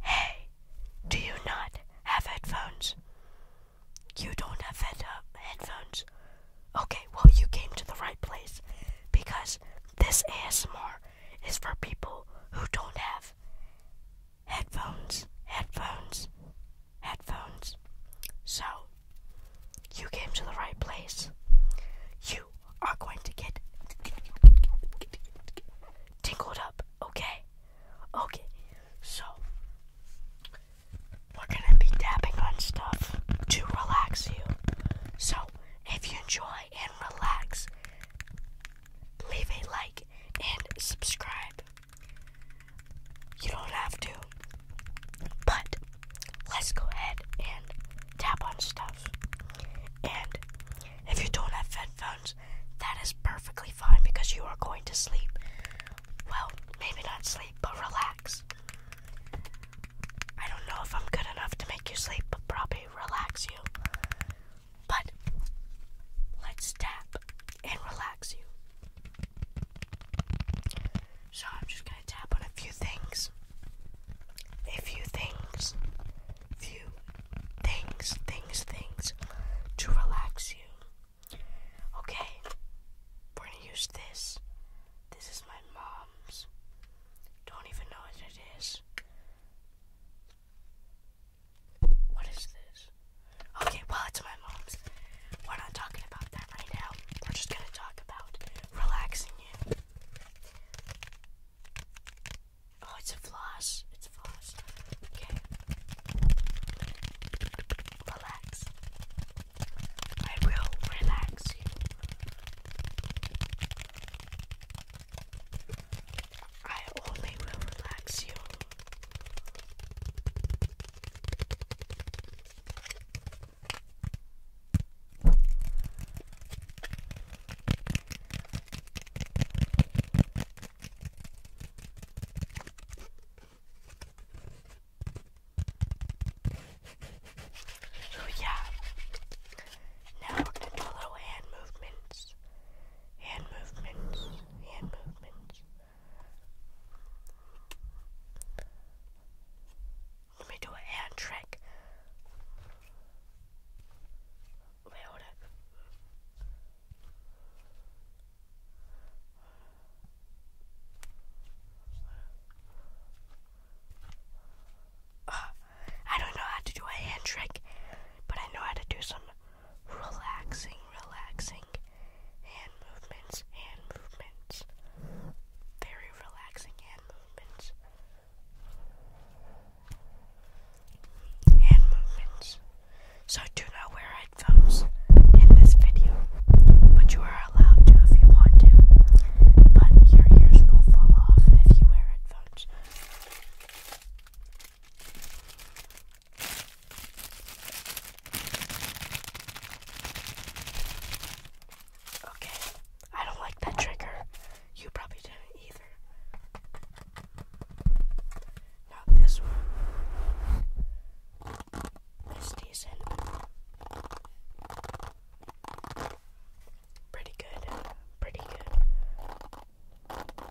Hey, do you not have headphones? You don't have headphones? Okay, well, you came to the right place because this ASMR is for people who don't have headphones, headphones, headphones. So, you came to the right place. You are going to get. Tinkled up, okay? Okay, so we're gonna be tapping on stuff to relax you. So if you enjoy and relax, leave a like and subscribe. You don't have to, but let's go ahead and tap on stuff. And if you don't have headphones, that is perfectly fine because you are going to sleep. Well, maybe not sleep, but relax. I don't know if I'm good enough to make you sleep, but probably relax you. But let's tap and relax you. So I'm just going to tap on a few things. A few things few things, things, things to relax you. Okay, we're gonna use this. This is my mom's. Don't even know what it is. What is this? Okay, well, it's my mom's. We're not talking about that right now. We're just gonna talk about relaxing you. Oh, it's a floss. It's a floss. Okay. Relax. I will relax you. I only relax you. So yeah, now we're gonna follow hand movements, hand movements, hand movements. Let me do a hand trick. Ah, I don't know how to do a hand trick, but I know how to do some relaxing, relaxing hand movements, hand movements, very relaxing hand movements hand movements. So do not wear headphones in this video, but you are allowed to if you want to. But your ears will fall off if you wear headphones. Okay, I don't like that trigger. You probably didn't either. Now this one is decent. Pretty good. Pretty good. I don't know.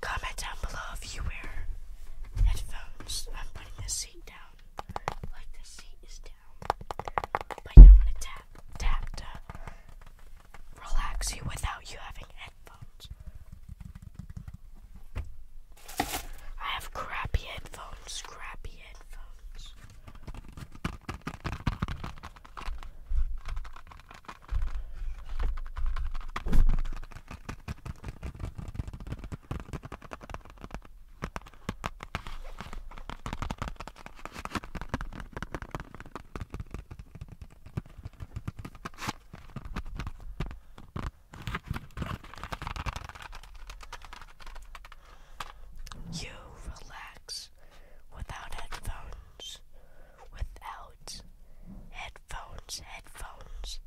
Comment down below if you wear headphones. I'm putting this seat down. Like this seat is down. But yeah, i to tap, tap to relax you without you having headphones. I have crappy headphones, crappy headphones. You relax without headphones without headphones, headphones,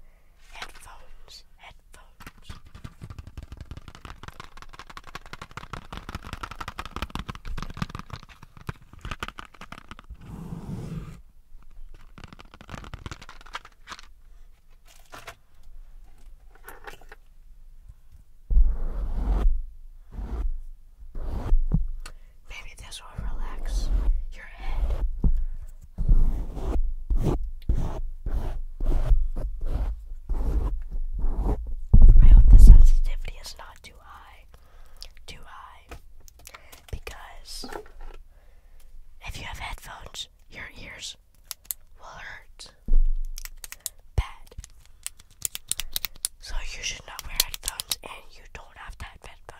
headphones, headphones. Maybe this will relax your head. I hope the sensitivity is not too high. Too high. Because if you have headphones, your ears will hurt bad. So you should not wear headphones and you don't have headphones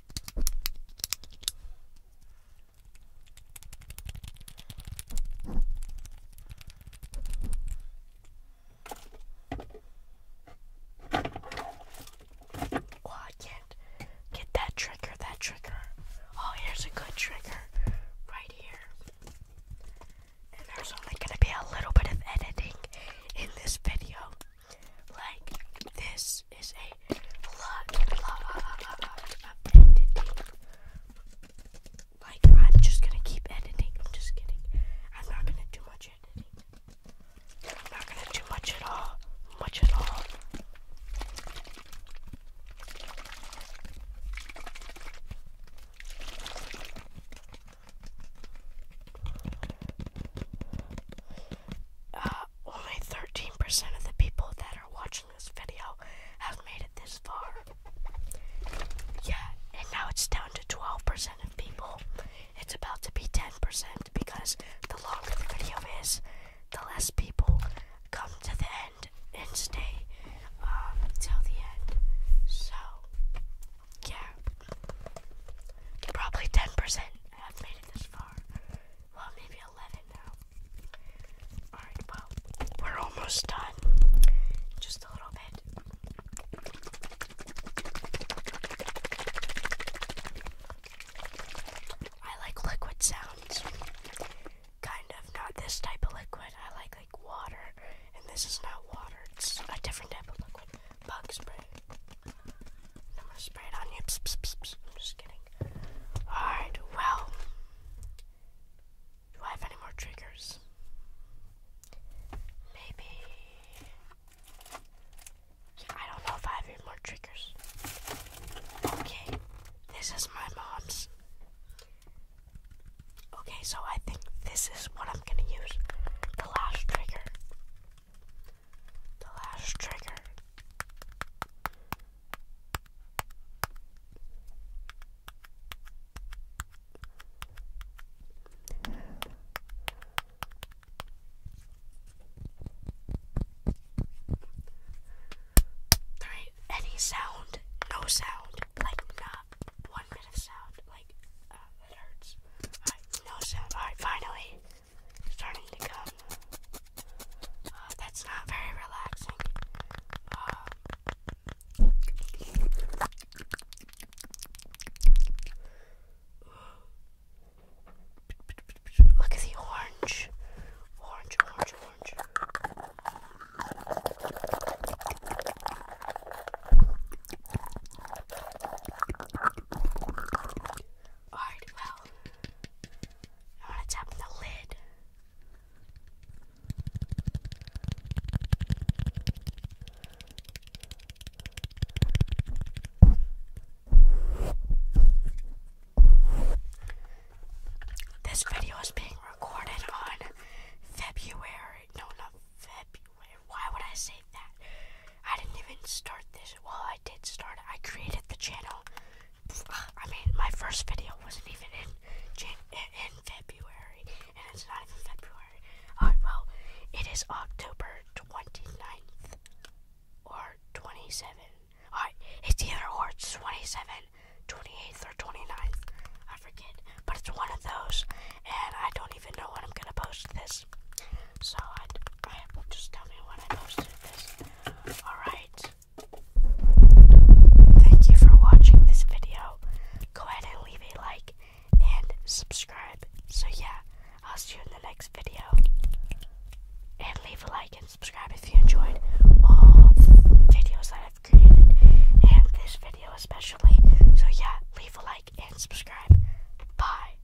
Oh, I can't get that trigger, that trigger. Oh, here's a good trigger right here. And there's only going to be a little bit of editing in this video. Like, this is a lot, of Like, I'm just gonna keep editing. I'm just kidding. I'm not gonna do much editing. I'm not gonna do much at all. Much at all. Uh, only 13% of the people that are watching this video have made it this far. Yeah, and now it's down to 12% of people. It's about to be 10% because the longer the video is, the less people come to the end and stay um, till the end. So, yeah. Probably 10% have made it this far. Well, maybe 11 now. Alright, well, we're almost done. Just a little bit. I like liquid sounds. Kind of, not this type of liquid. I like like water, and this is not water. It's a different type of liquid bug spray. I'm gonna spray it on you. I'm just kidding. Alright, well. Do I have any more triggers? Maybe. I don't know if I have any more triggers. Okay, this is my mom's. Okay, so I think this is what I'm gonna use. The last trigger. The last trigger. There any sound, no sound, like not one bit of sound, like it uh, hurts. no sound. Alright, finally starting to come. Uh, that's not very relaxing. Uh, look at the orange. Orange, orange, orange. Alright, well, I want to tap the lid. This video is being recorded on February. No, not February. Why would I say that? I didn't even start this. Well, I did start I created the channel. I mean, my first video wasn't even in February, it's not February. well, it is October 29th or 27. it's either or. It's 27, 28th, or 29th. I forget, but it's one of those, and I don't even know when I'm gonna post this. So just tell me when I posted this. Alright. Thank you for watching this video. Go ahead and leave a like and subscribe. So yeah, I'll see you in the next video. And leave a like and subscribe if you enjoyed all the videos that I've created and this video especially. So yeah, leave a like and subscribe. Bye.